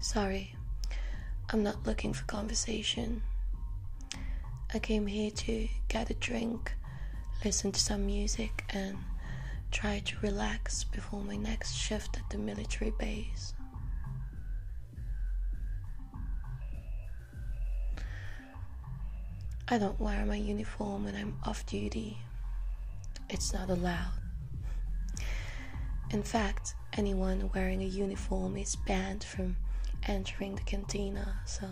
Sorry, I'm not looking for conversation. I came here to get a drink, listen to some music, and try to relax before my next shift at the military base. I don't wear my uniform when I'm off duty. It's not allowed. In fact, anyone wearing a uniform is banned from entering the cantina, so.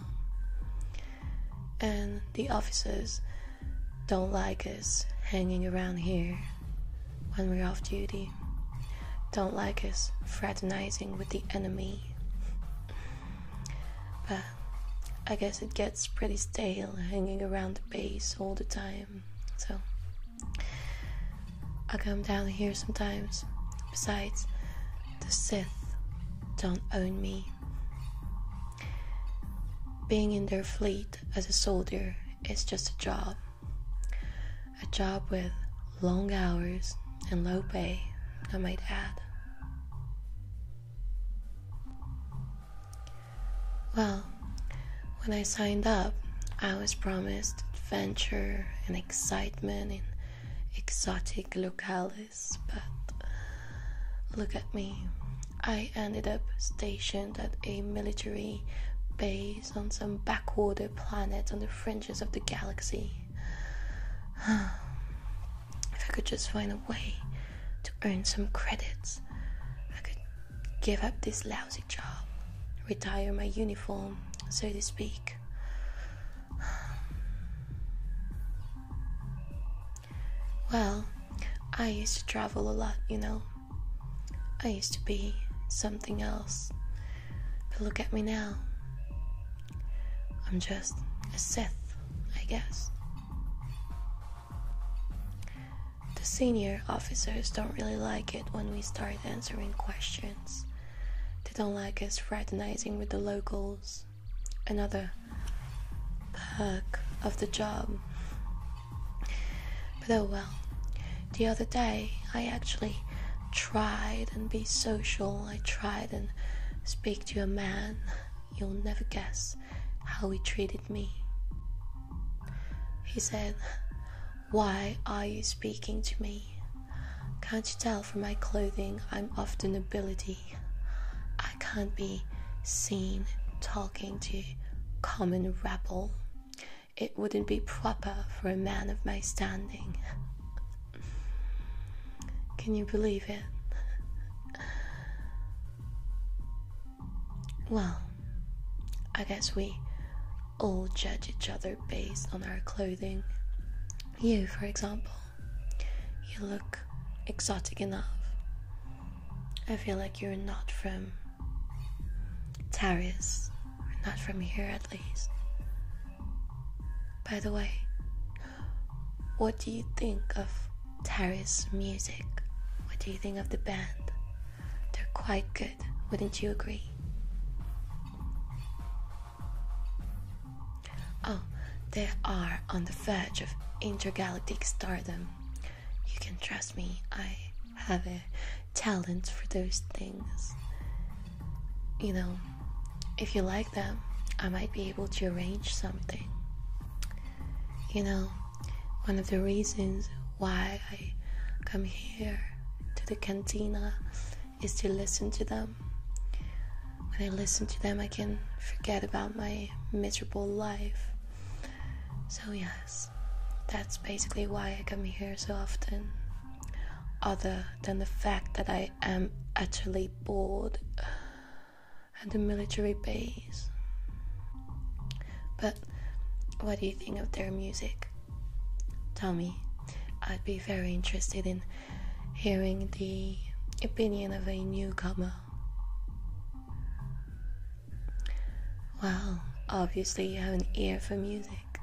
And the officers don't like us hanging around here when we're off duty. Don't like us fraternizing with the enemy. But I guess it gets pretty stale hanging around the base all the time, so. I come down here sometimes. Besides, the Sith don't own me. Being in their fleet as a soldier is just a job. A job with long hours and low pay, I might add. Well, when I signed up, I was promised adventure and excitement in exotic locales, but look at me. I ended up stationed at a military base on some backwater planet on the fringes of the galaxy. if I could just find a way to earn some credits, I could give up this lousy job, retire my uniform, so to speak. Well, I used to travel a lot, you know. I used to be something else. But look at me now. I'm just a Sith, I guess. The senior officers don't really like it when we start answering questions. They don't like us fraternizing with the locals. Another perk of the job. But oh well. The other day, I actually tried and be social. I tried and speak to a man. You'll never guess how he treated me. He said, Why are you speaking to me? Can't you tell from my clothing I'm of the nobility? I can't be seen talking to common rabble. It wouldn't be proper for a man of my standing. Can you believe it? Well, I guess we all judge each other based on our clothing. You, for example, you look exotic enough. I feel like you're not from Taris, or not from here at least. By the way, what do you think of Taris music? What do you think of the band? They're quite good, wouldn't you agree? Oh, they are on the verge of intergalactic stardom. You can trust me, I have a talent for those things. You know, if you like them, I might be able to arrange something. You know, one of the reasons why I come here to the cantina is to listen to them. When I listen to them, I can forget about my miserable life. So, yes, that's basically why I come here so often. Other than the fact that I am utterly bored at the military base. But what do you think of their music? Tell me. I'd be very interested in hearing the opinion of a newcomer. Well, obviously, you have an ear for music.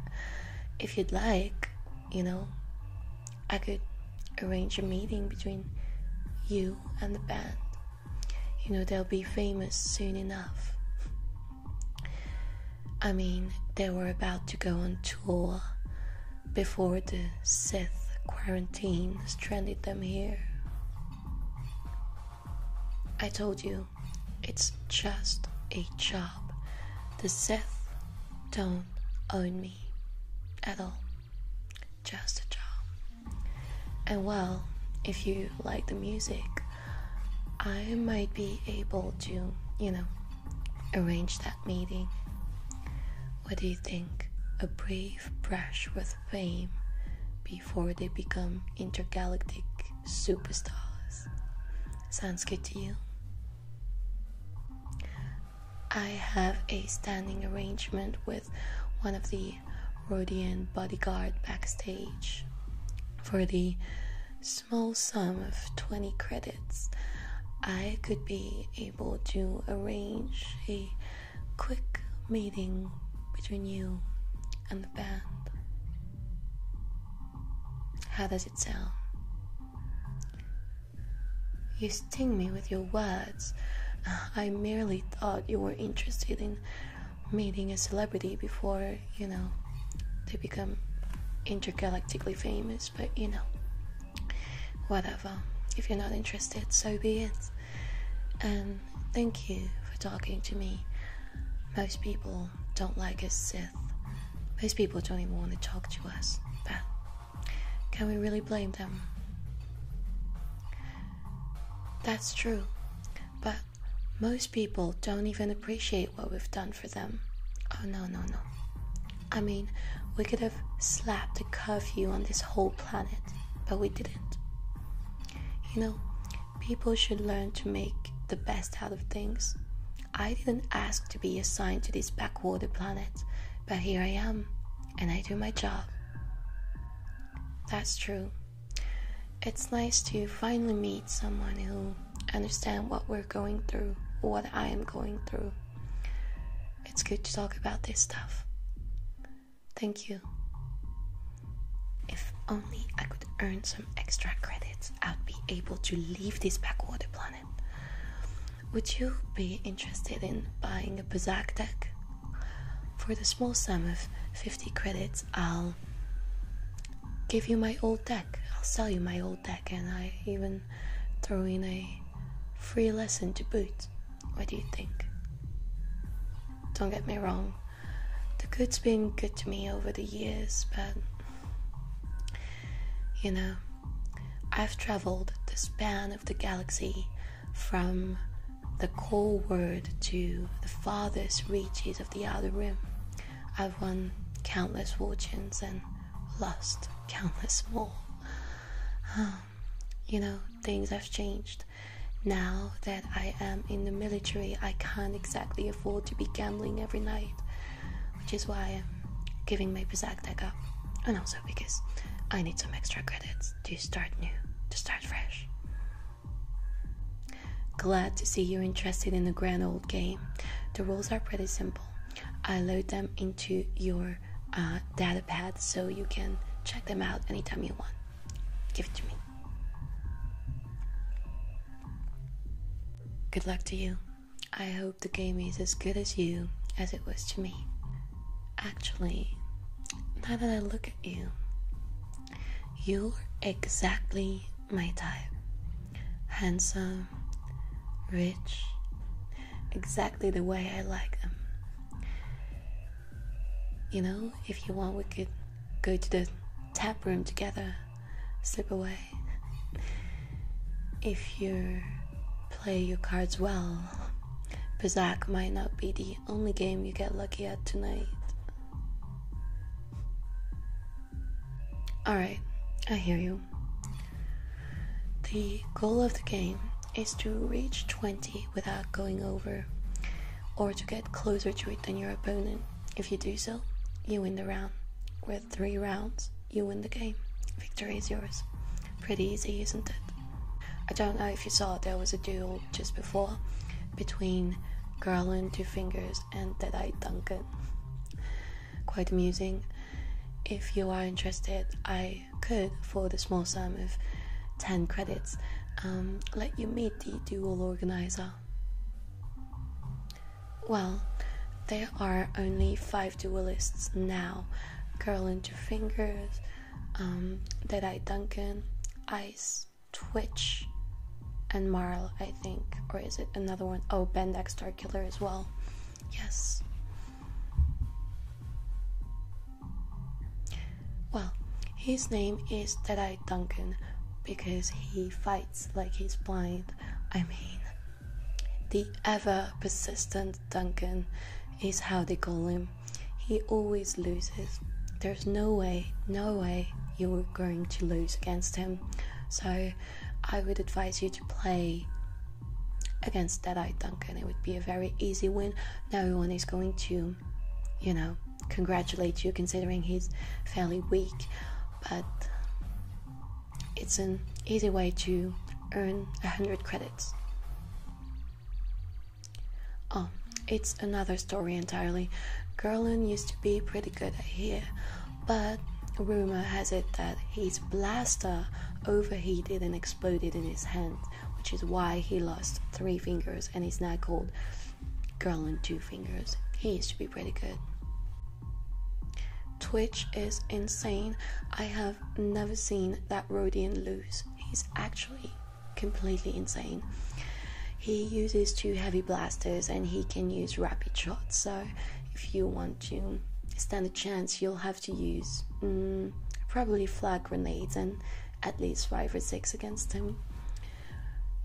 If you'd like, you know, I could arrange a meeting between you and the band. You know, they'll be famous soon enough. I mean, they were about to go on tour before the Sith quarantine stranded them here. I told you, it's just a job. The Sith don't own me at all. Just a job. And well, if you like the music, I might be able to, you know, arrange that meeting. What do you think? A brief brush with fame before they become intergalactic superstars. Sounds good to you? I have a standing arrangement with one of the Rodian bodyguard backstage for the small sum of 20 credits. I could be able to arrange a quick meeting between you and the band. How does it sound? You sting me with your words. I merely thought you were interested in meeting a celebrity before, you know, they become intergalactically famous, but you know, whatever. If you're not interested, so be it. And thank you for talking to me. Most people don't like us, Sith. Most people don't even want to talk to us, but can we really blame them? That's true. But most people don't even appreciate what we've done for them. Oh, no, no, no. I mean, we could have slapped a curfew on this whole planet, but we didn't. You know, people should learn to make the best out of things. I didn't ask to be assigned to this backwater planet, but here I am, and I do my job. That's true. It's nice to finally meet someone who understands what we're going through, what I am going through. It's good to talk about this stuff. Thank you. If only I could earn some extra credits, I'd be able to leave this backwater planet. Would you be interested in buying a Berserk deck? For the small sum of 50 credits, I'll give you my old deck. I'll sell you my old deck, and I even throw in a free lesson to boot. What do you think? Don't get me wrong, the good's been good to me over the years, but you know, I've traveled the span of the galaxy from the call word to the farthest reaches of the outer rim. I've won countless fortunes and lost countless more. Um, you know, things have changed. Now that I am in the military, I can't exactly afford to be gambling every night, which is why I'm giving my Berserk deck up. And also because I need some extra credits to start new, to start fresh. Glad to see you're interested in the grand old game. The rules are pretty simple. I load them into your uh, data pad so you can check them out anytime you want. Give it to me. Good luck to you. I hope the game is as good as you as it was to me. Actually, now that I look at you, you're exactly my type. Handsome, rich, exactly the way I like them. You know, if you want, we could go to the tap room together, slip away. If you play your cards well, Pizak might not be the only game you get lucky at tonight. Alright, I hear you. The goal of the game is to reach 20 without going over, or to get closer to it than your opponent. If you do so, you win the round. With three rounds, you win the game. Victory is yours. Pretty easy, isn't it? I don't know if you saw there was a duel just before between Garland Two Fingers and Dead Eye Duncan. Quite amusing. If you are interested, I could, for the small sum of 10 credits, um, let you meet the dual organizer. Well, there are only five dualists now Girl and Two Fingers, Dead um, Eye Duncan, Ice, Twitch, and Marl, I think. Or is it another one? Oh, Bendex Star Killer as well. Yes. Well, his name is Dead Eye Duncan because he fights like he's blind. I mean, the ever persistent Duncan is how they call him. He always loses. There's no way, no way you're going to lose against him. So I would advise you to play against Dead Eye Duncan. It would be a very easy win. Now everyone is going to, you know, congratulate you considering he's fairly weak. But it's an easy way to earn 100 credits. Oh, it's another story entirely. Garland used to be pretty good at here, but rumor has it that his blaster overheated and exploded in his hand, which is why he lost three fingers and is now called Garland Two Fingers. He used to be pretty good. Twitch is insane. I have never seen that Rodian lose. He's actually completely insane. He uses two heavy blasters and he can use rapid shots. So if you want to stand a chance, you'll have to use mm, probably flag grenades and at least five or six against him.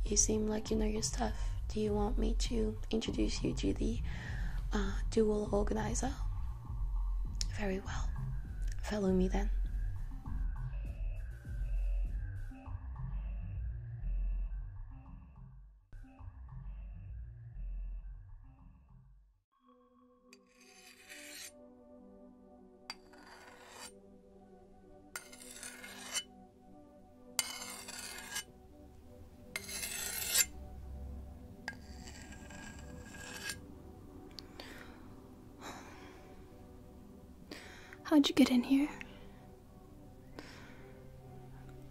You seem like you know your stuff. Do you want me to introduce you to the uh, dual organizer? Very well. Follow me then. How'd you get in here?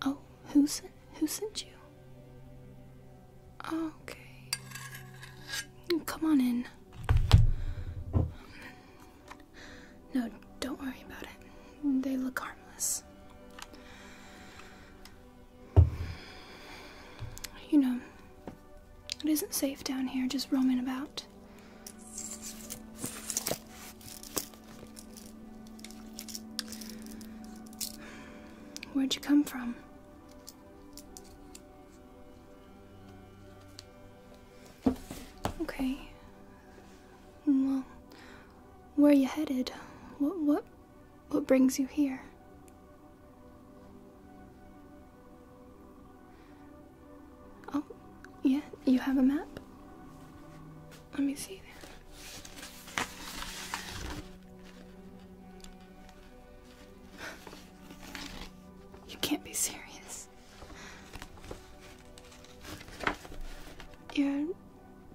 Oh, who sent who sent you? Oh, okay. Come on in. No, don't worry about it. They look harmless. You know, it isn't safe down here just roaming about. Where'd you come from? Okay. Well, where are you headed? What what what brings you here? Oh, yeah, you have a map? Let me see there. You can't be serious. You're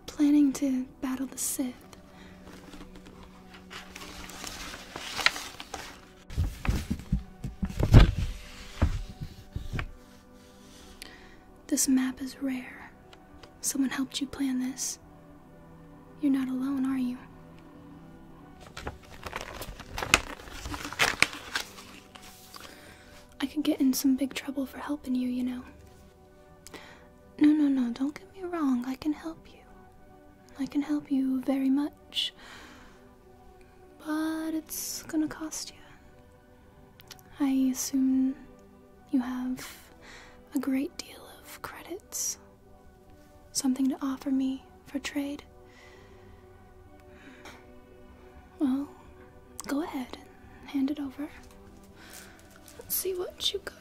planning to battle the Sith. This map is rare. Someone helped you plan this. You're not alone, are you? I could get in some big trouble for helping you, you know. No, no, no, don't get me wrong. I can help you. I can help you very much, but it's gonna cost you. I assume you have a great deal of credits. Something to offer me for trade. Well, go ahead and hand it over. Let's see what you got.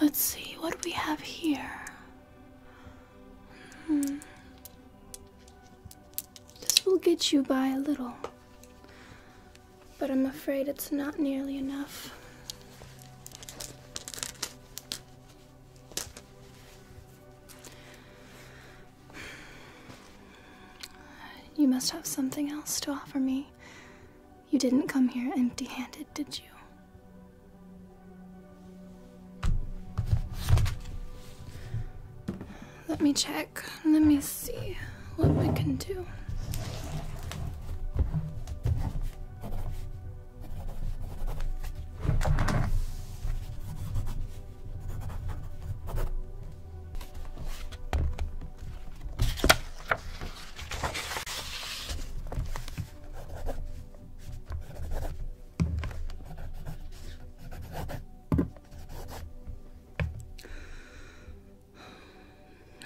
Let's see what we have here. Hmm. This will get you by a little, but I'm afraid it's not nearly enough. You must have something else to offer me. You didn't come here empty handed, did you? Let me check. Let me see what we can do.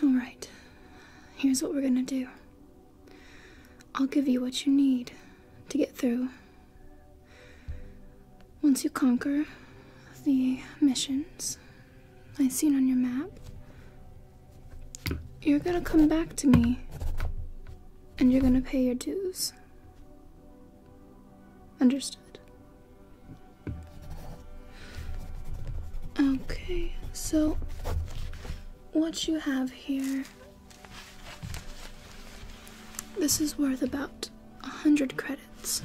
All right, here's what we're gonna do. I'll give you what you need to get through. Once you conquer the missions I've seen on your map, you're gonna come back to me and you're gonna pay your dues. Understood. Okay, so what you have here. This is worth about a hundred credits.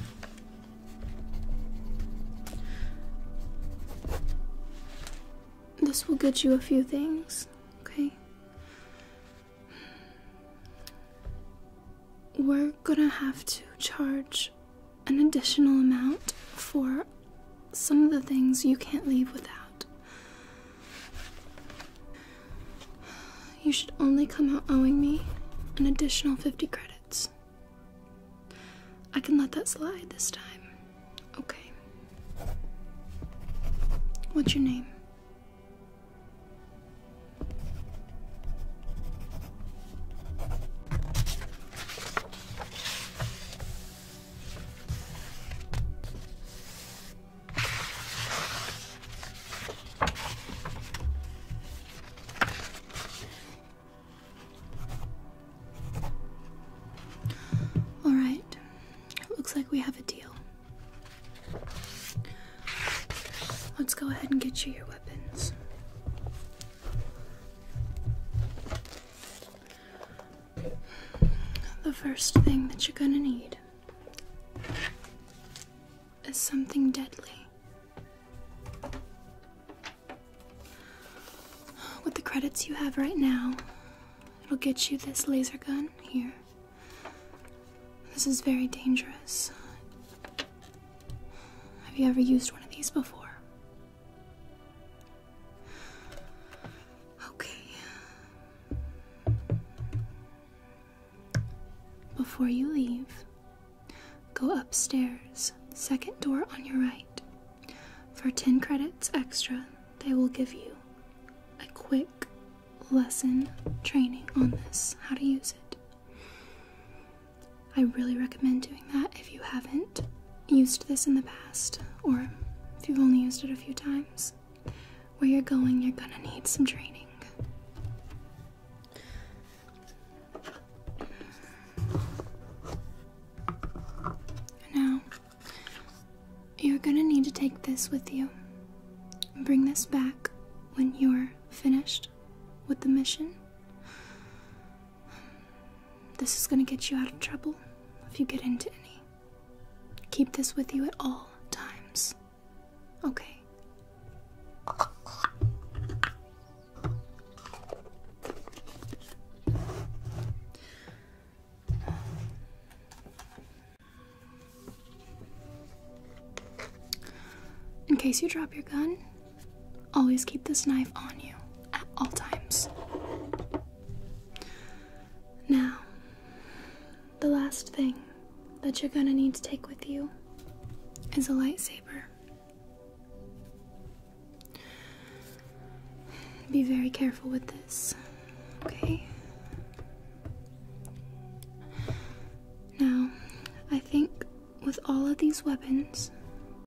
This will get you a few things, okay? We're gonna have to charge an additional amount for some of the things you can't leave without. You should only come out owing me an additional 50 credits. I can let that slide this time. Okay. What's your name? All right. Looks like we have a deal. Let's go ahead and get you your weapons. The first thing that you're gonna need is something deadly. With the credits you have right now, it'll get you this laser gun here. This is very dangerous. Have you ever used one of these before? Okay. Before you leave, go upstairs, second door on your right. For 10 credits extra, they will give you a quick lesson training on this, how to use it. I really recommend doing that if you haven't used this in the past or if you've only used it a few times. Where you're going, you're gonna need some training. Now, you're gonna need to take this with you. Bring this back when you're finished with the mission. This is going to get you out of trouble if you get into any. Keep this with you at all times. Okay. In case you drop your gun, Always keep this knife on you at all times. Now, the last thing that you're gonna need to take with you is a lightsaber. Be very careful with this, okay? Now, I think with all of these weapons,